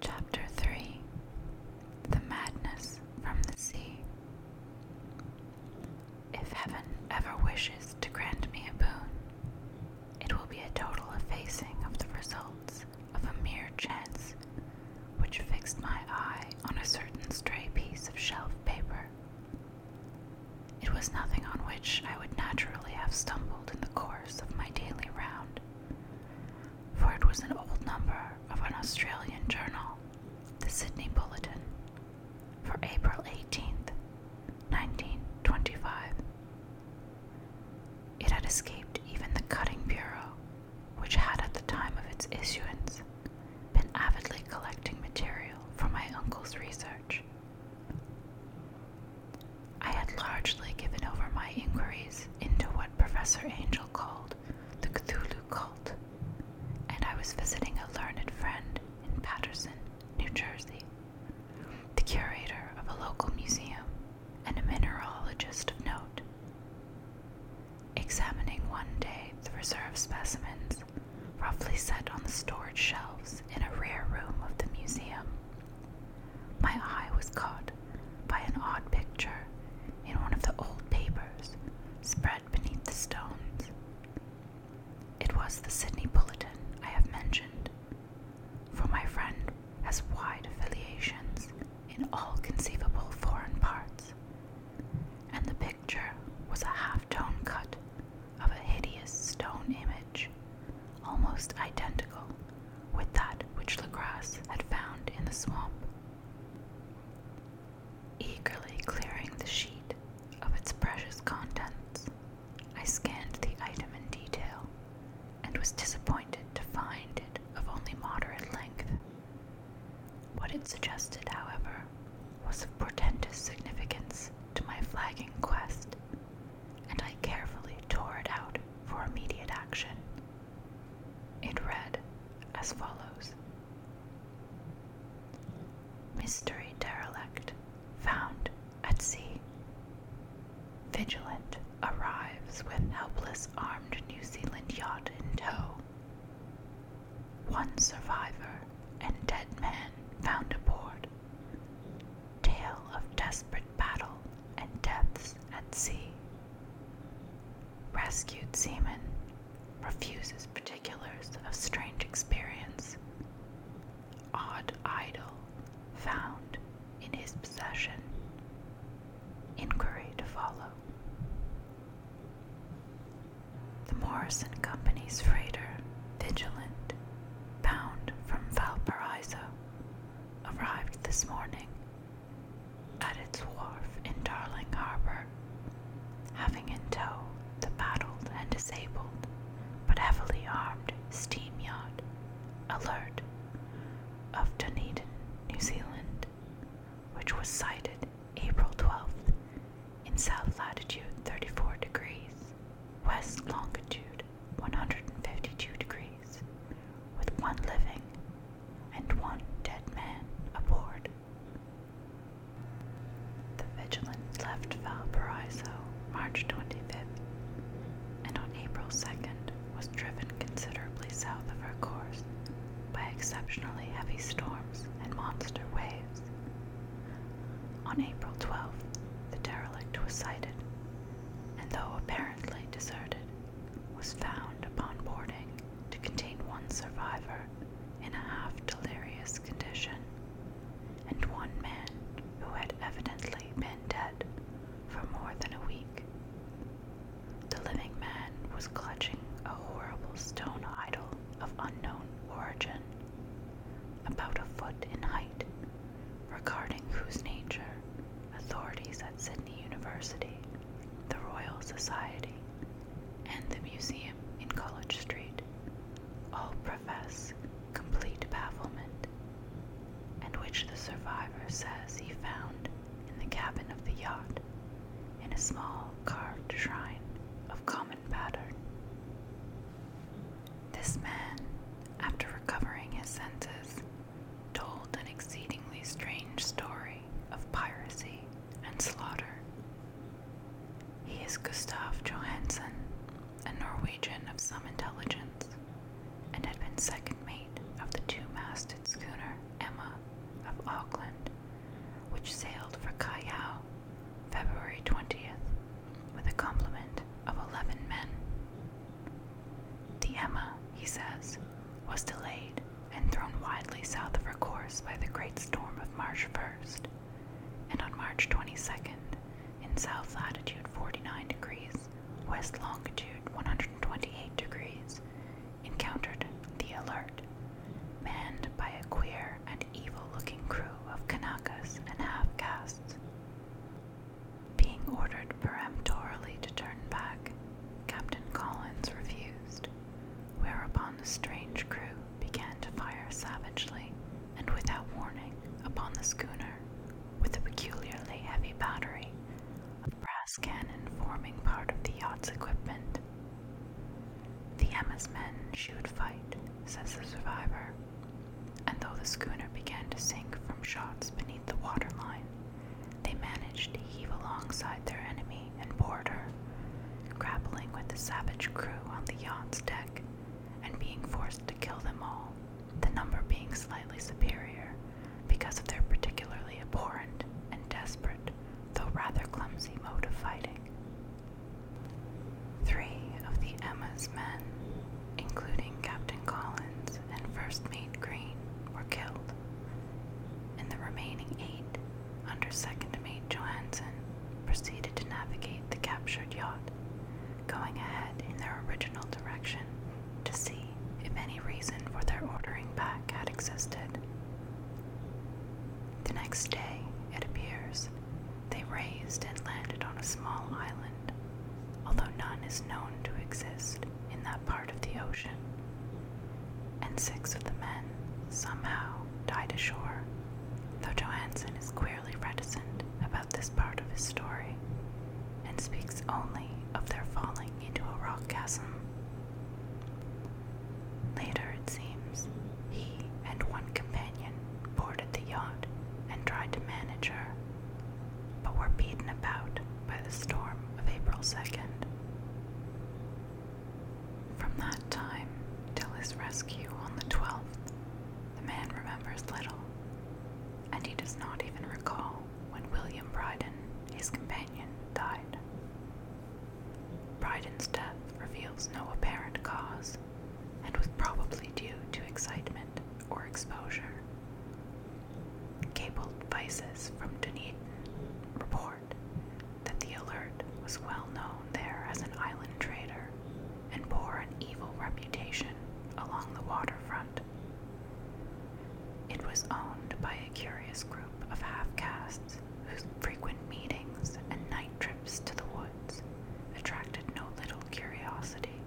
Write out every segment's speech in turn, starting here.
Chapter 3 The Madness from the Sea. If heaven ever wishes to grant me a boon, it will be a total effacing of the results of a mere chance which fixed my eye on a certain stray piece of shelf paper. It was nothing on which I would naturally have stumbled in the course of my daily round for it was an old number of an Australian journal, the Sydney Bulletin, for April 18th, 1925. It had escaped even the Cutting Bureau, which had at the time of its issuance been avidly collecting material for my uncle's research. I had largely given over my inquiries into what Professor Angel called the Cthulhu cult, and I was visiting a learned friend in Paterson, New Jersey, the curator of a local museum and a mineralogist of note. Examining one day the reserve specimens roughly set on the storage shelves in a rear room of the museum, my eye was caught by an odd picture in one of the old papers spread beneath the stones. It was the Sydney Bulletin I have mentioned, for my friend has wide affiliations in all conceivable foreign parts, and the picture was a half tone cut of a hideous stone image almost identical with that which Legras had found in the swamp. Eagerly clearing the sheet of its precious contents, I scanned the item in detail and was disappointed to find it of only moderate length. What it suggested, however, was of portentous significance to my flagging quest, and I carefully tore it out for immediate action. It read as follows Mystery derelict found at sea. Vigilant arrives with helpless armed New Zealand yacht in tow. One survivor and dead man found aboard tale of desperate battle and deaths at sea. Rescued seaman refuses particulars of strange experience. Odd idol found in his possession. Inquiry to follow. The Morrison Company's freighter, Vigilant, bound from Valparaiso, arrived this morning at its wharf in Darling Harbor, having in tow the battled and disabled but heavily armed steam yacht Alert of Dunedin, New Zealand, which was sighted April 12th in south latitude 34 degrees west longitude 152 degrees, with one living and one dead man aboard. The Vigilant left Valparaiso March 25th, and on April 2nd was driven considerably south of her course by exceptionally heavy storms and monster waves. On April 12th, the derelict was sighted, and though apparently deserted, was found upon boarding to contain one survivor in a half delirious condition, and one man who had evidently been dead for more than a week. The living man was clutching a horrible stone idol of unknown origin, about a foot in height regarding whose nature authorities at Sydney University, the Royal Society, and the museum in College Street all profess complete bafflement, and which the survivor says he found in the cabin of the yacht in a small carved shrine of common pattern. This man, after recovering his senses, told an exceedingly strange story of piracy and slaughter. He is Gustav Johansen, a Norwegian of some intelligence, and had been second mate of the two masted schooner Emma of Auckland, which sailed for Callao February 20th with a complement of 11 men. The Emma, he says, was delayed and thrown widely south of her course by the great storm of March 1st, and on March 22nd, in south latitude 49 degrees, west longitude 128 degrees, encountered the Alert, manned by a queer and evil looking crew of Kanakas and half castes. Being ordered peremptorily to turn back, Captain Collins refused, whereupon the strange crew began to fire savagely and without warning upon the schooner with a peculiarly heavy battery of brass cannon forming part of the yacht's equipment. The Emma's men shoot fight, says the survivor, and though the schooner began to sink from shots beneath the water line. They managed to heave alongside their enemy and board her, grappling with the savage crew on the yacht's deck and being forced to kill them all, the number being slightly superior because of their particularly abhorrent and desperate, though rather clumsy, mode of fighting. Three of the Emma's men including Captain Collins and First Mate Green, were killed, and the remaining eight, under Second Mate Johansen, proceeded to navigate the captured yacht, going ahead in their original direction to see if any reason for their ordering back had existed. The next day, it appears, they raised and landed on a small island, although none is known to exist in that part of the ocean, and six of the men somehow died ashore, though Johansen is queerly reticent about this part of his story and speaks only of their falling into a rock chasm. Later, it seems, he and one companion boarded the yacht and tried to manage her, but were beaten about by the storm of April 2nd. From that time till his rescue on the 12th, the man remembers little, and he does not even recall when William Bryden, his companion, died. Bryden's death reveals no apparent cause and was probably due to excitement or exposure, Cabled vices from Dunedin report that the Alert was well known there as an island trader and bore an evil reputation along the waterfront. It was owned by a curious group of half castes whose frequent meetings and night trips to the woods attracted no little curiosity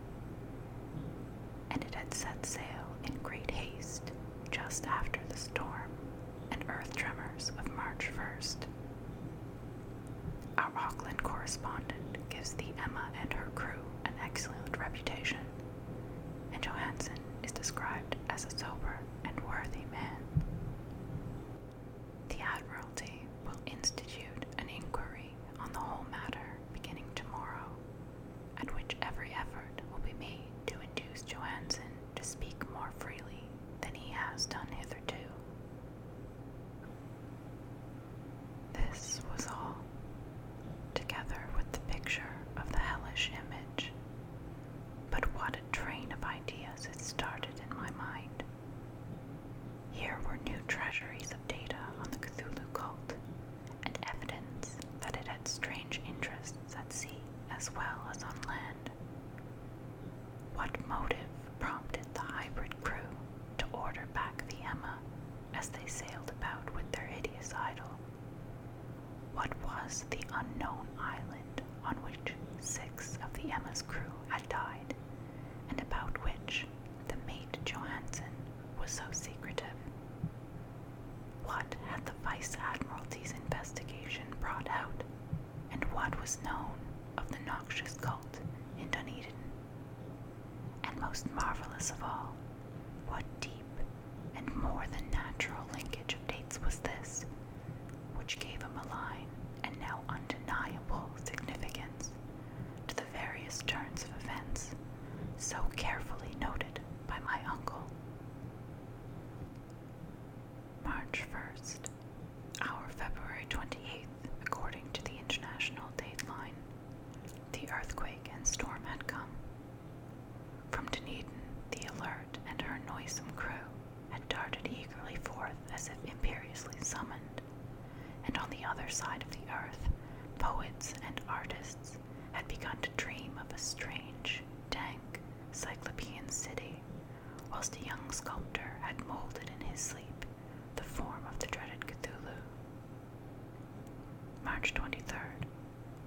and it had set sail in great haste just after the storm and earth tremors of March 1st. Our Auckland correspondent gives the Emma and her crew an excellent reputation, and Johansen is described as a sober and worthy man. The Admiralty will institute an inquiry on the whole matter beginning tomorrow at which every effort will be made to induce Johansen to speak more freely than he has done hitherto. This was all, together with the picture of the hellish image. But what a train of ideas it started in my mind! Here were new treasuries of data on the Cthulhu cult and evidence that it had strange interests at sea as well as on land. What motive prompted the hybrid crew to order back the Emma as they sailed about with their hideous idol? What was the unknown island on which six of the Emma's crew had died, and about which the mate Johansen was so secretive? What had the Vice Admiralty's investigation brought out, and what was known of the noxious cult in Dunedin? And most marvelous of all, what deep and more than natural linkage of dates was this, which gave a malign and now undeniable significance to the various turns of events so carefully noted by my uncle. March 1st, our February 28th, according to the international dateline, the earthquake and storm had come. From Dunedin, the Alert and her noisome crew had darted eagerly forth as if imperiously summoned, and on the other side of the earth, poets and artists had begun to dream of a strange, dank cyclopean city, whilst a young sculptor had molded in his sleep the form of the dreaded Cthulhu. March 23rd,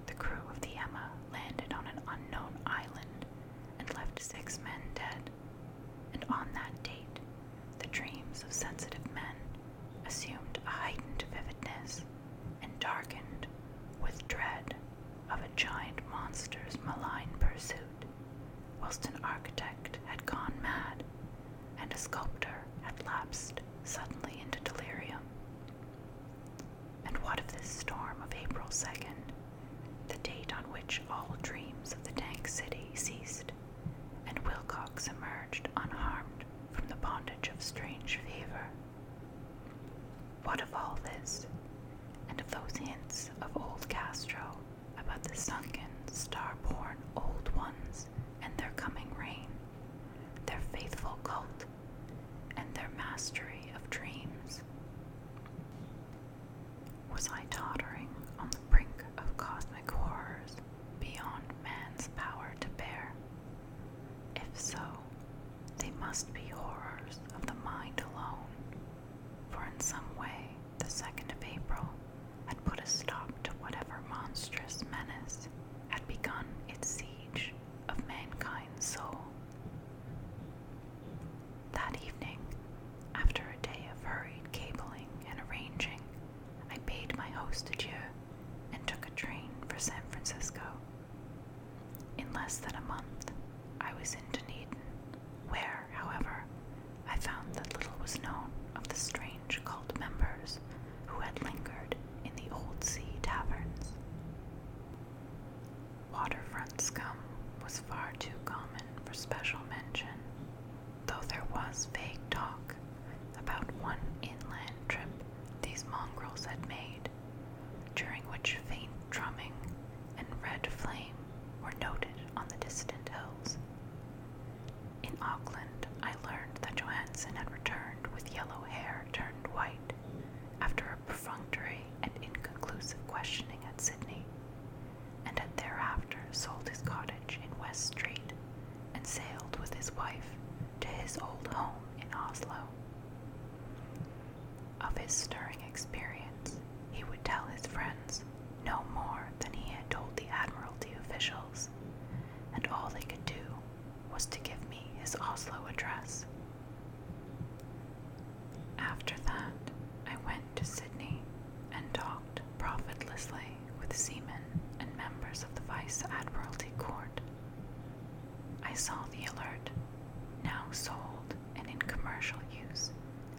the crew of the Emma landed on an unknown island and left six men dead, and on that date, the dreams of sensitive men assumed a heightened vividness and darkened with dread of a giant monster's malign pursuit, whilst an architect had gone mad and a sculptor had lapsed suddenly into delirium. And what of this storm of April 2nd, the date on which all dreams of the tank city ceased, and Wilcox emerged unharmed from the bondage of strange fever? What of all this, and of those hints of old Castro about the sunken, star-born old ones and their coming reign, their faithful cult, and their mastery of dreams? Was I tottering on the brink of cosmic horrors beyond man's power to bear? If so, they must be horrors of the mind alone, for in some way the 2nd of April had put a stop to whatever monstrous menace had begun its siege of mankind's soul. That evening, after a day of hurried cabling and arranging, I paid my host adieu and took a train for San Francisco. In less than a month, I was in Dunedin, where, however, I found that little was known of the strange cult members who had lingered in the Old Sea taverns. Waterfront scum was far too common for special mention, though there was vague talk about one inland trip these mongrels had made, during which faint drumming and red flame were noted on the distant hills. In Auckland, I learned that Johansen had returned with yellow hair turned white after a perfunctory and inconclusive questioning at Sydney, and had thereafter sold his cottage in West Street and sailed with his wife to his old home in Oslo. Of his stirring experience, he would tell his friends no more than he had told the Admiralty officials, and all they could do was to give me his Oslo address. After that, I went to Sydney and talked profitlessly with seamen and members of the Vice Admiralty Court I saw the alert, now sold and in commercial use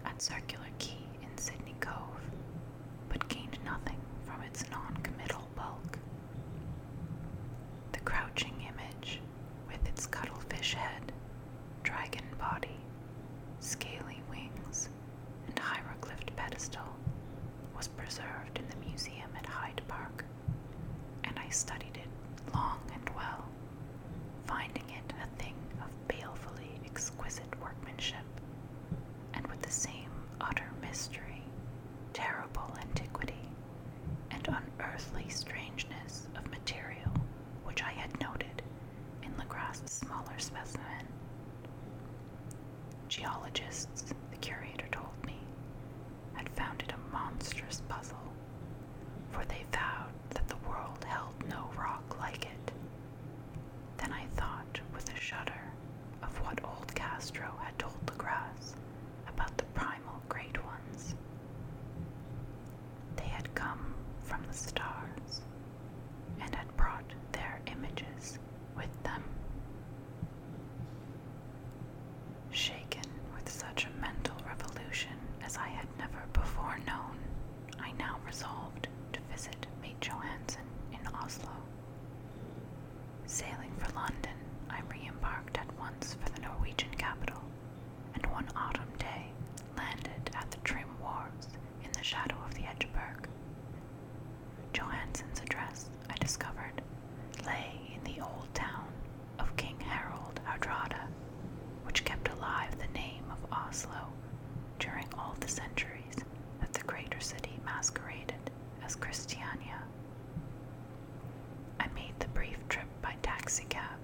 at Circular Quay in Sydney Cove, but gained nothing from its non committal bulk. The crouching image, with its cuttlefish head, dragon body, scaly wings, and hieroglyphed pedestal, was preserved in the museum at Hyde Park and I studied it long and well, finding it a thing of balefully exquisite workmanship, and with the same utter mystery, terrible antiquity, and unearthly strangeness of material which I had noted in Lagrasse's smaller specimen. Geologists the curator told me, had it a monstrous puzzle, for they vowed that the world held no rock like it. Then I thought with a shudder of what old Castro had told the grass about the primal great ones. They had come from the stars and had brought their images with them. Shaken with such a mental revolution as I had never before known, I now resolved to visit Mate Johansen in Oslo. Sailing for London, I re embarked at once for the Norwegian capital, and one autumn day landed at the Trim Wharves in the shadow of the Edgeberg. Johansen's address, I discovered, lay in the old town of King Harold Hardrada, which kept alive the name of Oslo during all the centuries that the greater city masqueraded as Christiania. I made the brief trip by taxicab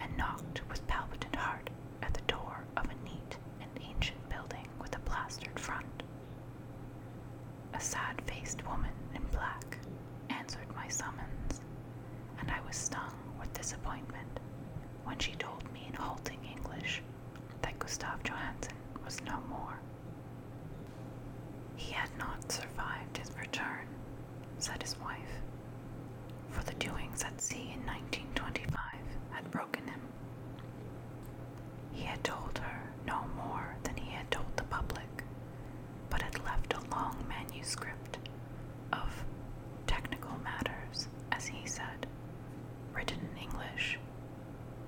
and knocked with palpitant heart at the door of a neat and ancient building with a plastered front. A sad faced woman in black answered my summons, and I was stung with disappointment when she told me in halting English that Gustav Johansen was no more. He had not survived his return, said his wife, for the doings at sea in 1925 had broken him. He had told her no more than he had told the public, but had left a long manuscript of technical matters, as he said, written in English,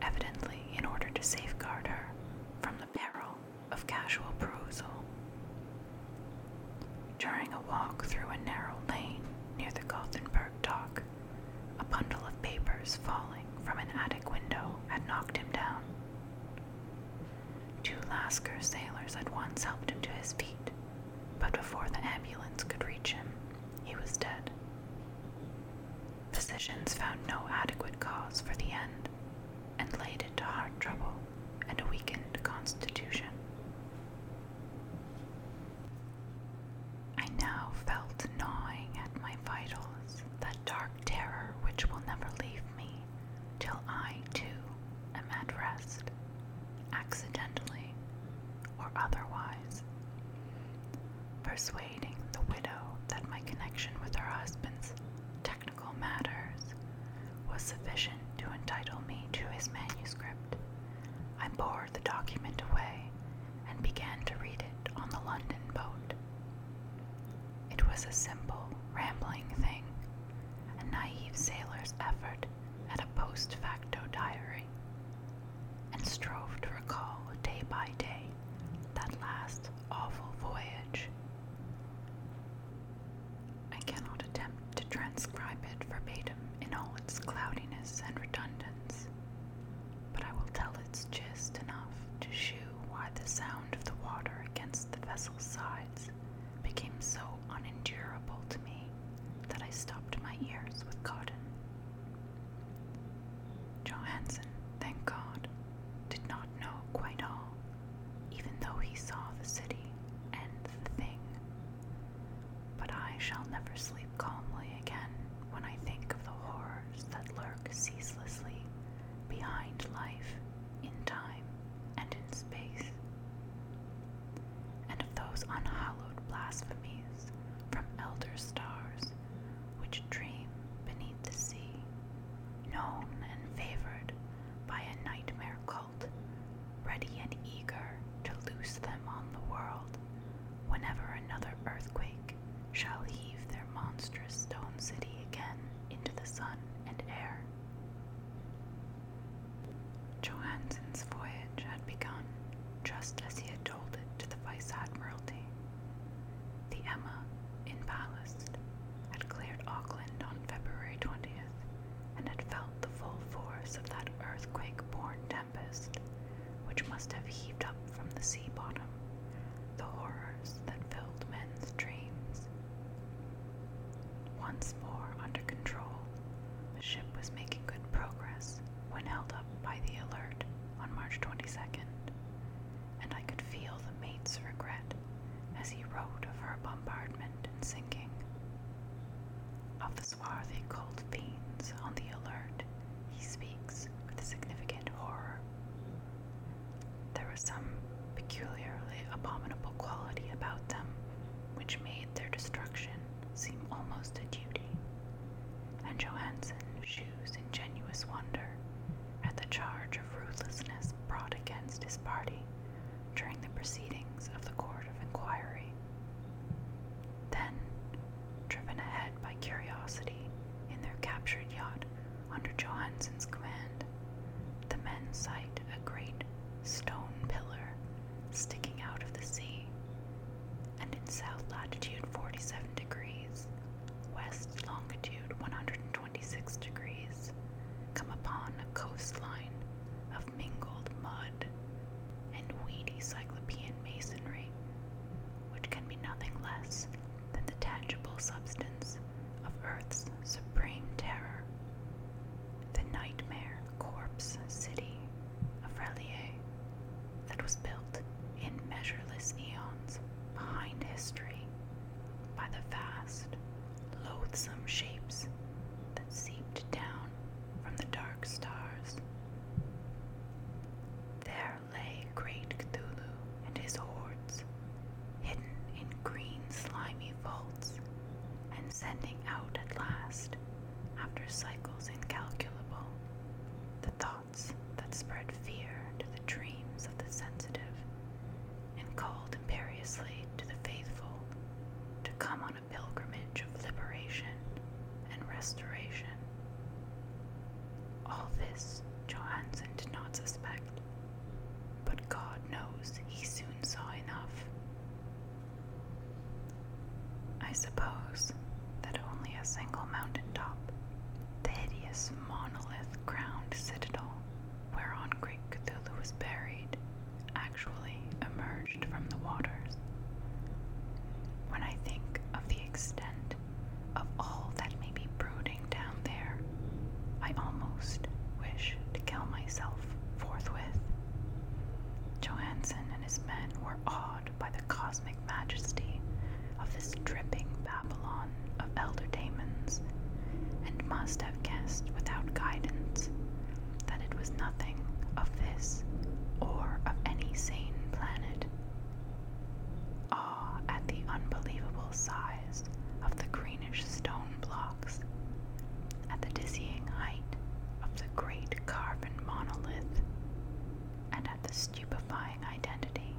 evidently in order to safeguard her from the peril of casual perusal. During a walk through a narrow lane near the Gothenburg dock, a bundle of papers falling from an attic window had knocked him down. Two Lascar sailors at once helped him to his feet, but before the ambulance could reach him, he was dead. Physicians found no adequate cause for the end and laid it to heart trouble and a weakened constitution. I now felt gnawing at my vitals that dark terror which will never leave me till I too am at rest, accidentally or otherwise. Persuading the widow that my connection with her husband's technical matters was sufficient to entitle me to his manuscript, I bore the document away and began to read it on the London boat. It was a simple, rambling thing, a naive sailor's effort at a post facto diary, and strove to recall day by day that last awful voyage. I cannot attempt to transcribe it verbatim in all its cloudiness and redundance, but I will tell its gist enough to shew why the sound of the water against the vessel's sides became so unendurable to me that I stopped my ears with cotton. Johansen, thank God, did not know quite all, even though he saw the city and the thing. But I shall never sleep calmly again when I think of the horrors that lurk ceaselessly behind life in time and in space, and of those unhallowed blasphemies from elder stars which dream beneath the sea, known and favored by a nightmare cult, ready and eager to loose them on the world whenever another earthquake shall heave their monstrous stone city again into the sun and air. Johansen's voyage had begun just as he had told it to the Vice Admiralty. The Emma, in ballast, had cleared Auckland on February 20th and had felt the full force of that earthquake born tempest which must have heaved up from the sea bottom the horrors that filled men's dreams. Once more under control, the ship was making good progress when held up by the alert on March 22nd, and I could feel the mate's regret as he wrote of her bombardment and sinking. Of the swarthy cold fiends on the alert, he speaks with a significant horror. There was some peculiarly abominable quality about them which made their destruction seem almost a duty. And Johansen shews ingenuous wonder at the charge of ruthlessness brought against his party during the proceedings of the Court of Inquiry. Then, driven ahead by curiosity in their captured yacht, under Johansen's command, the men sight a great stone pillar sticking out of the sea, and in south latitude 47 degrees, west longitude 126 degrees, come upon a coastline of mingled mud and weedy cyclopean masonry, which can be nothing less than the tangible substance of Earth's supreme terror, the nightmare corpse city of Relier that was built in measureless eons behind history by the vast, loathsome shapes that seeped down from the dark stars. There lay great Cthulhu and his hordes, hidden in green slimy vaults, and sending out at last, after cycles incalculable, the thoughts that spread fear to the dreams of the sensitive, and called imperiously to the faithful to come on a pilgrimage of liberation and restoration. All this Johansen did not suspect but God knows he soon saw enough. I suppose that only a single mountaintop, the hideous monolith crowned citadel whereon great Cthulhu was buried, actually emerged from the waters. When I think of the extent of all that may be brooding down there. I almost wish to kill myself forthwith. Johansen and his men were awed by the cosmic majesty of this dripping Babylon of elder daemons, and must have guessed without guidance that it was nothing of this or of any sane planet. Awe ah, at the unbelievable size of the greenish stone blocks, at the dizzying height of the great carbon monolith, and at the stupefying identity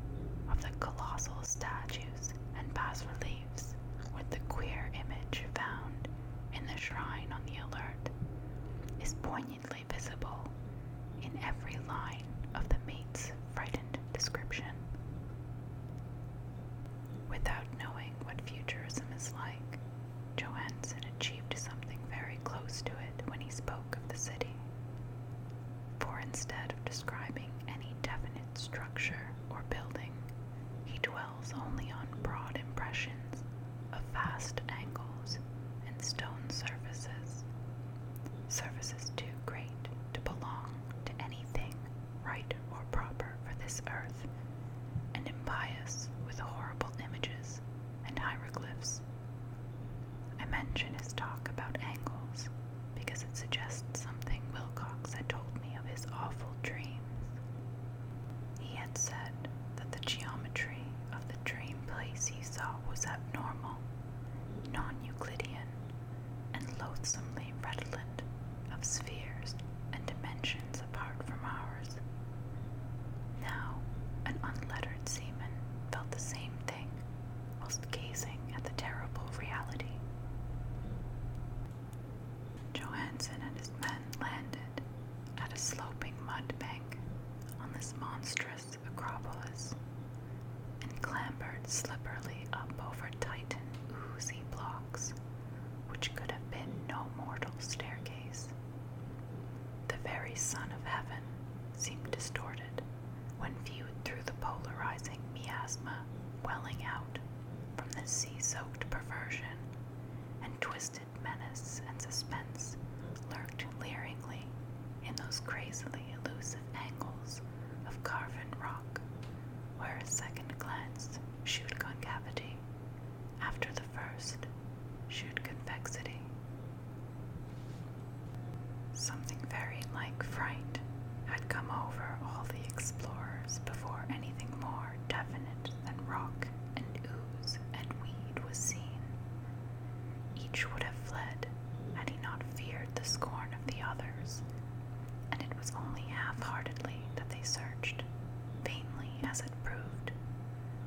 of the colossal statues and bas reliefs with the queer image found in the shrine on the alert, is poignantly visible in every line of the mate's frightened description. Without knowing what futurism is like, Johansen achieved something very close to it when he spoke of the city. For instead of describing any definite structure or building, he dwells only on broad impressions of vast angles and stone surfaces, surfaces too great to belong to anything right or proper for this earth, and impious with horrible images and hieroglyphs. I mention his talk about angles because it suggests something Wilcox had told me of his awful dreams. He had said that the geometry of the dream place he saw was abnormal, non Euclidean, and loathsomely redolent of spheres and dimensions apart from ours. Now, an unlettered seaman felt the same thing whilst gazing at the terrible reality. Johansen and his men landed at a sloping mud bank on this monstrous acropolis and clambered slipperily up over titan oozy blocks, which could have been no mortal staircase. The very sun of heaven seemed distorted when viewed through the polarizing miasma welling out from this sea soaked perversion, and twisted menace and suspense lurked leeringly in those crazily elusive angles of carven rock where a second glance shewed concavity, after the first shewed convexity. Something very like fright had come over all the explorers before anything more definite than rock and ooze and weed was seen. Each would have fled had he not feared the scorn of the others and it was only half heartedly that they searched, vainly as it proved,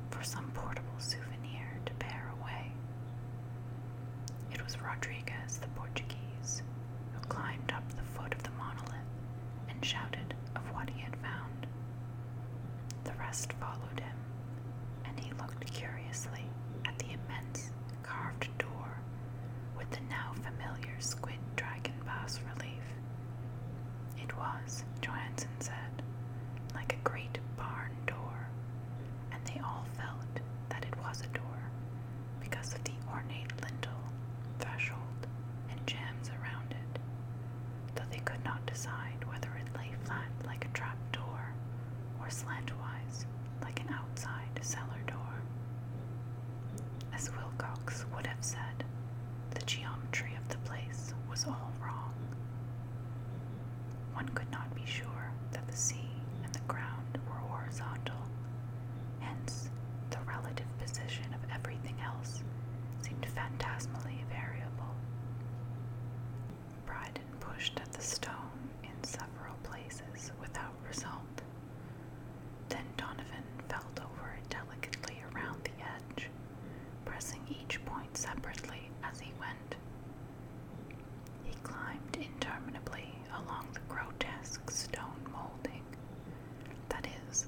for some portable souvenir to bear away. It was Rodriguez the Portuguese who climbed up the foot of the monolith and shouted of what he had found. The rest followed him, and he looked curiously at the immense carved door with the now familiar squid dragon bass relief. It was, Johansen said, like a great barn door, and they all felt that it was a door because of the ornate lintel, threshold, and jams around it, though they could not decide whether it lay flat like a trap door or slantwise like an outside cellar door. As Wilcox would have said, the geometry of the place was all wrong. One could not be sure that the sea and the ground were horizontal, hence, the relative position of everything else seemed phantasmally variable. Bryden pushed at the stone in several places without result. Then Donovan felt over it delicately around the edge, pressing each point separately as he went. He climbed interminably along the grotesque stone molding. That is,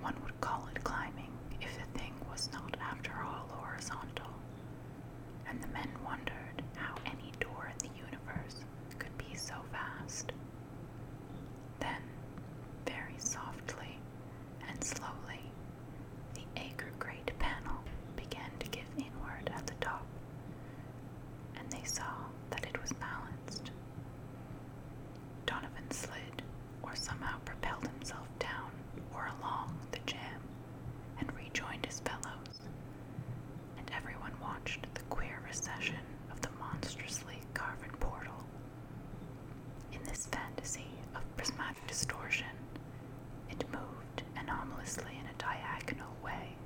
one would call it climbing if the thing was not, after all, horizontal. And the men wondered how any door in the universe could be so vast. Then, very softly and slowly, the acre-great panel began to give inward at the top, and they saw that it was balanced. Donovan slid, or somehow propelled himself down or along the jam, and rejoined his fellows and everyone watched the queer recession of the monstrously carven portal. In this fantasy of prismatic distortion, it moved anomalously in a diagonal way,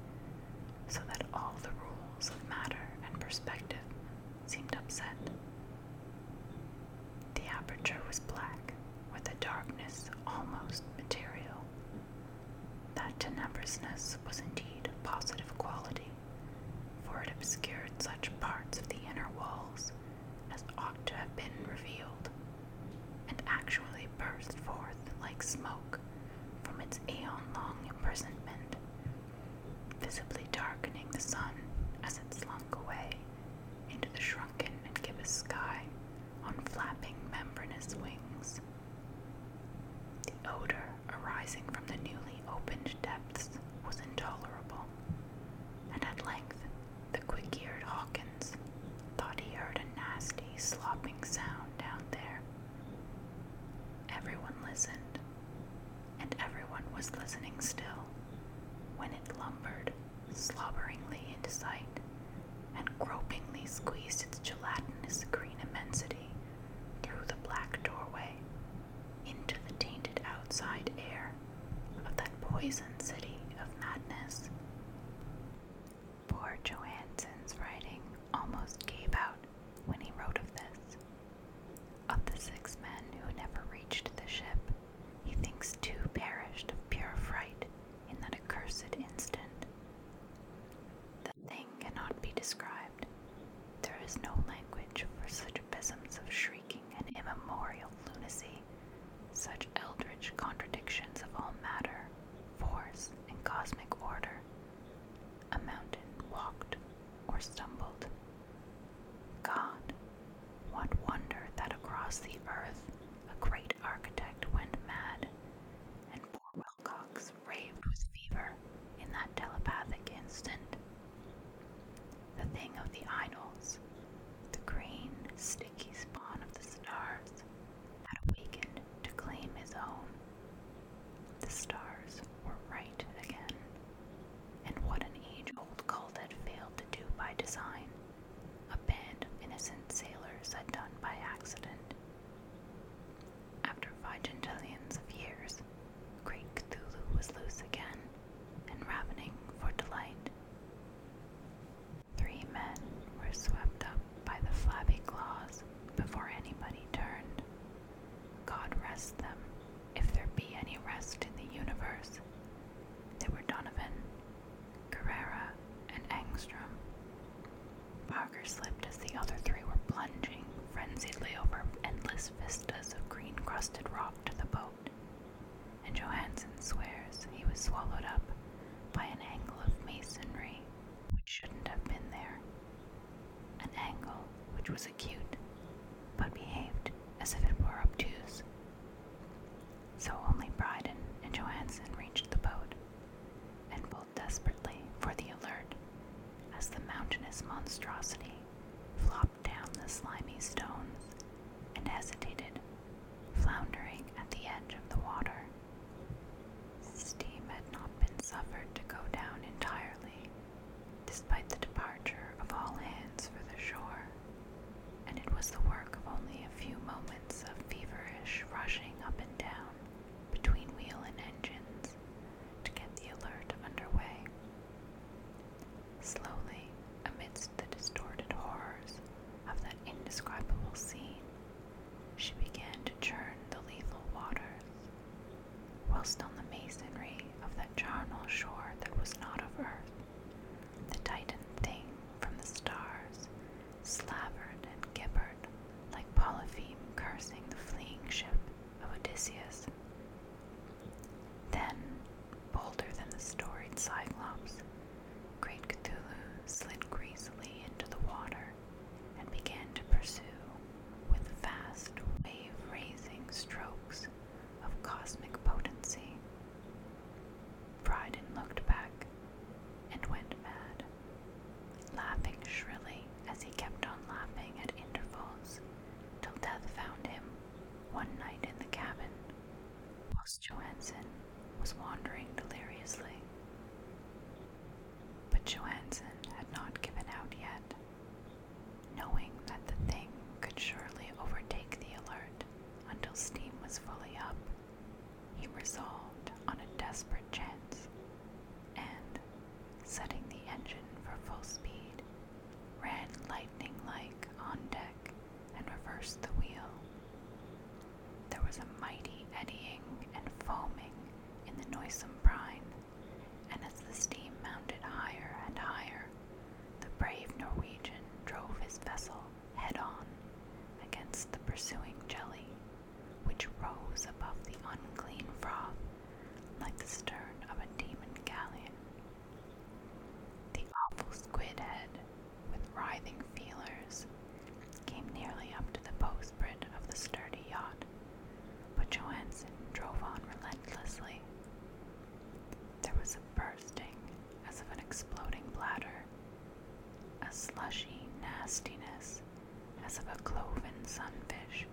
so that all the rules of matter and perspective seemed upset. The aperture was black, with a darkness almost material that tenebrousness was indeed a positive quality, for it obscured such parts of the inner walls as ought to have been revealed, and actually burst forth like smoke from its aeon long imprisonment, visibly darkening the sun as it slunk away into the shrunken and gibbous sky on flapping membranous wings. The odor arising from the newly opened depths was intolerable, and at length the quick eared Hawkins thought he heard a nasty slopping sound down there. Everyone listened, and everyone was listening still, when it lumbered slobberingly into sight and gropingly squeezed its gelatinous green immensity through the black doorway into the tainted outside air of that poison city of madness. Poor Johansen's writing almost gave out when he wrote of this. Of the six men who never reached the ship, he thinks two perished of pure fright in that accursed instant thing cannot be described. There is no language for such abysms of shrieking and immemorial lunacy, such eldritch contradictions of all matter, force, and cosmic order. A mountain walked or stumbled. God, what wonder that across the earth a great architect went mad, and poor Wilcox raved with fever in that telepathic instant. The thing of the idols, the green, sticky spawn of the stars, had awakened to claim his own. The stars were right again, and what an age old cult had failed to do by design, a band of innocent sailors had done by accident. After five gentilions of years, great Cthulhu was loose again and ravening for delight. Three men were swept up by the flabby claws before anybody turned. God rest them, if there be any rest in the universe. They were Donovan, Carrera, and Angstrom. Parker slipped as the other three were plunging frenziedly over endless vistas of green crusted rock to the boat, and Johansen swears he was swallowed up by an angle of masonry which shouldn't have been there. An angle which was acute, but behaved as if it were obtuse. So only Bryden and Johansen reached the boat and pulled desperately for the alert as the mountainous monstrosity flopped down the slimy stones and hesitated, floundering at the edge of the water. Steam had not been suffered to go down entirely, despite the departure of all hands for the shore, and it was the work of only a few moments of feverish rushing up and down between wheel and engines to get the alert underway. Slowly, amidst the distorted horrors of that indescribable scene, she began to churn the lethal waters, whilst on the masonry of that charnel shore that was not of earth, the titan thing from the stars slavered and gibbered like Polypheme cursing the fleeing ship of Odysseus. Then, bolder than the storied Cyclops, great Cthulhu slid greasily into the water and began to pursue, with fast, wave raising strokes of cosmic potency. Dryden looked back and went mad laughing shrilly as he kept on laughing at intervals till death found him one night in the cabin, whilst Johansen was wandering deliriously. But Johansen had not given out yet, knowing that the thing could surely overtake the alert until steam was fully up. He resolved on a desperate chance and, setting the engine for full speed, ran lightning like on deck and reversed the wheel. There was a mighty eddying and foaming in the noisome brine, and as the steam mounted higher and higher, the brave Norwegian drove his vessel head on against the pursuing jelly, which rose above the unclean froth like the stern of a demon galleon. The awful squid head, with writhing feelers, came nearly up to the bowsprit of the sturdy yacht, but Johansen drove on relentlessly. There was a bursting, as of an exploding bladder, a slushy nastiness as of a cloven sunfish,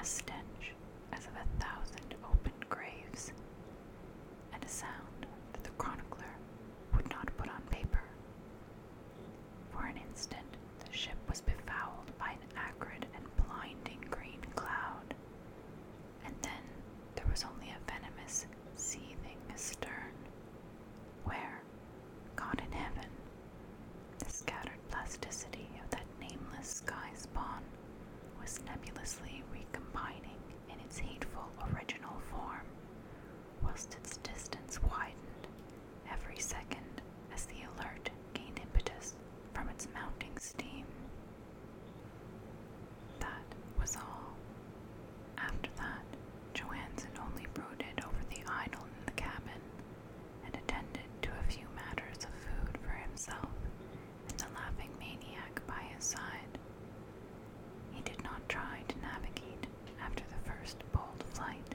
a stench as of a thousand open graves, and a sound that the chronicler would not put on paper. For an instant, the ship was befouled by an acrid and blinding green cloud, and then there was only a venomous seething astern, where, God in heaven, the scattered plasticity of that nameless sky spawn was nebulously recombining in its hateful original form, whilst its distance widened every second as the alert gained impetus from its mounting steam. That was all. After that, Johansen only brooded over the idol in the cabin and attended to a few matters of food for himself and the laughing maniac by his side. He did not try to navigate after the first bold flight,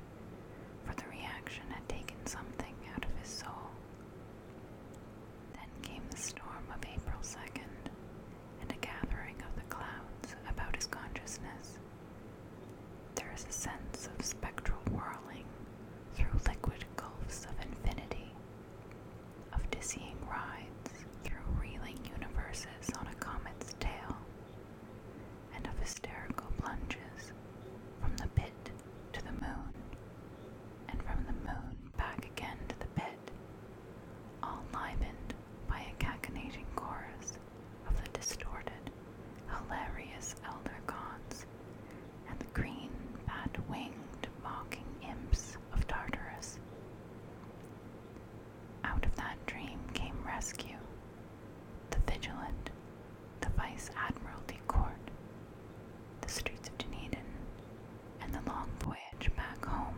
for the reaction had taken something out of his soul. Then came the storm of April 2nd, and a gathering of the clouds about his consciousness, there is a sense of spectral whirling through liquid gulfs of infinity, of dizzying rides through reeling universes on a comet's tail, and of hysterical plunges from the pit to the moon, and from the moon back again to the pit, all livened by a cachinnating chorus of the distorted hilarious elder gods, and the green, bat-winged, mocking imps of Tartarus. Out of that dream came rescue, the Vigilant, the Vice Admiralty Court, the streets of Dunedin, and the long voyage back home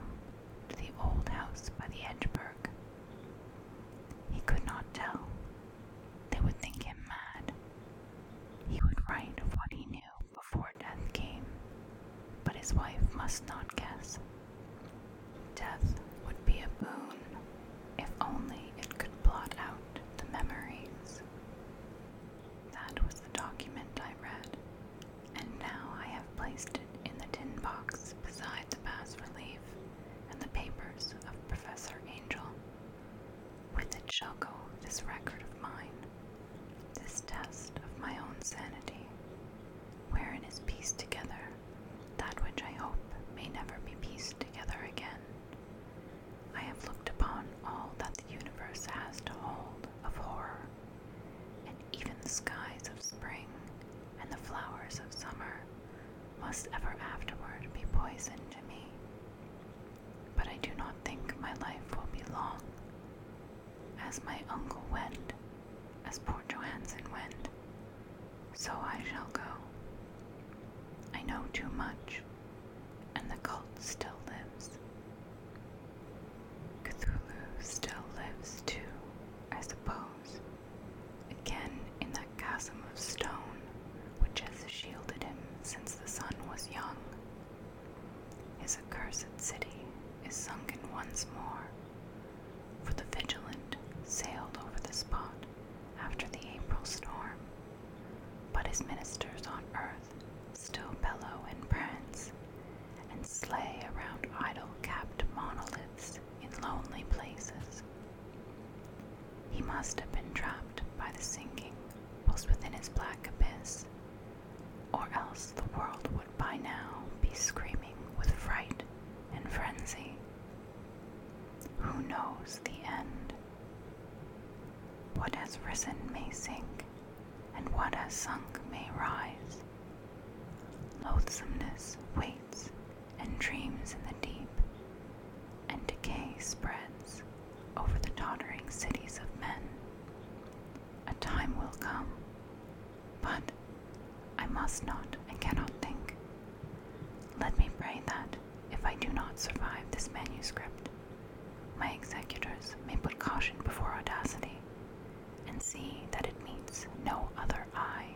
to the old house by the Edgeberg. He could not tell. They would think him mad, he would write of what he knew before death came, but his wife must not guess. Death would be a boon if only it could blot out the memories. That was the document I read, and now I have placed it in the tin box beside the bas relief and the papers of Professor Angel. With it shall go this record of mine, this test of my own sanity, wherein is pieced together that which I hope may never be pieced together again. I have looked upon all that the universe has to hold of horror, and even the skies of spring and the flowers of summer must ever afterward be poison to me. But I do not think my life will be long. As my uncle went, as poor Johansen went, so I shall go. I know too much, and the cult still lives. Cthulhu still lives too, I suppose. Again in that chasm of stone which has shielded him since the sun was young. His accursed city is sunken once more, for the vigilant sailed over the spot after the April storm, but his ministers on earth still bellow and prance and slay around idol capped monoliths in lonely places. He must have been trapped by the sinking whilst within his black abyss, or else the world would by now be screaming with fright and frenzy. Who knows the end? What has risen may sink, and what has sunk may rise. Loathsomeness waits and dreams in the deep and decay spreads over the tottering cities of men. A time will come, but I must not and cannot think. Let me pray that, if I do not survive this manuscript, my executors may put caution before audacity and see that it meets no other eye.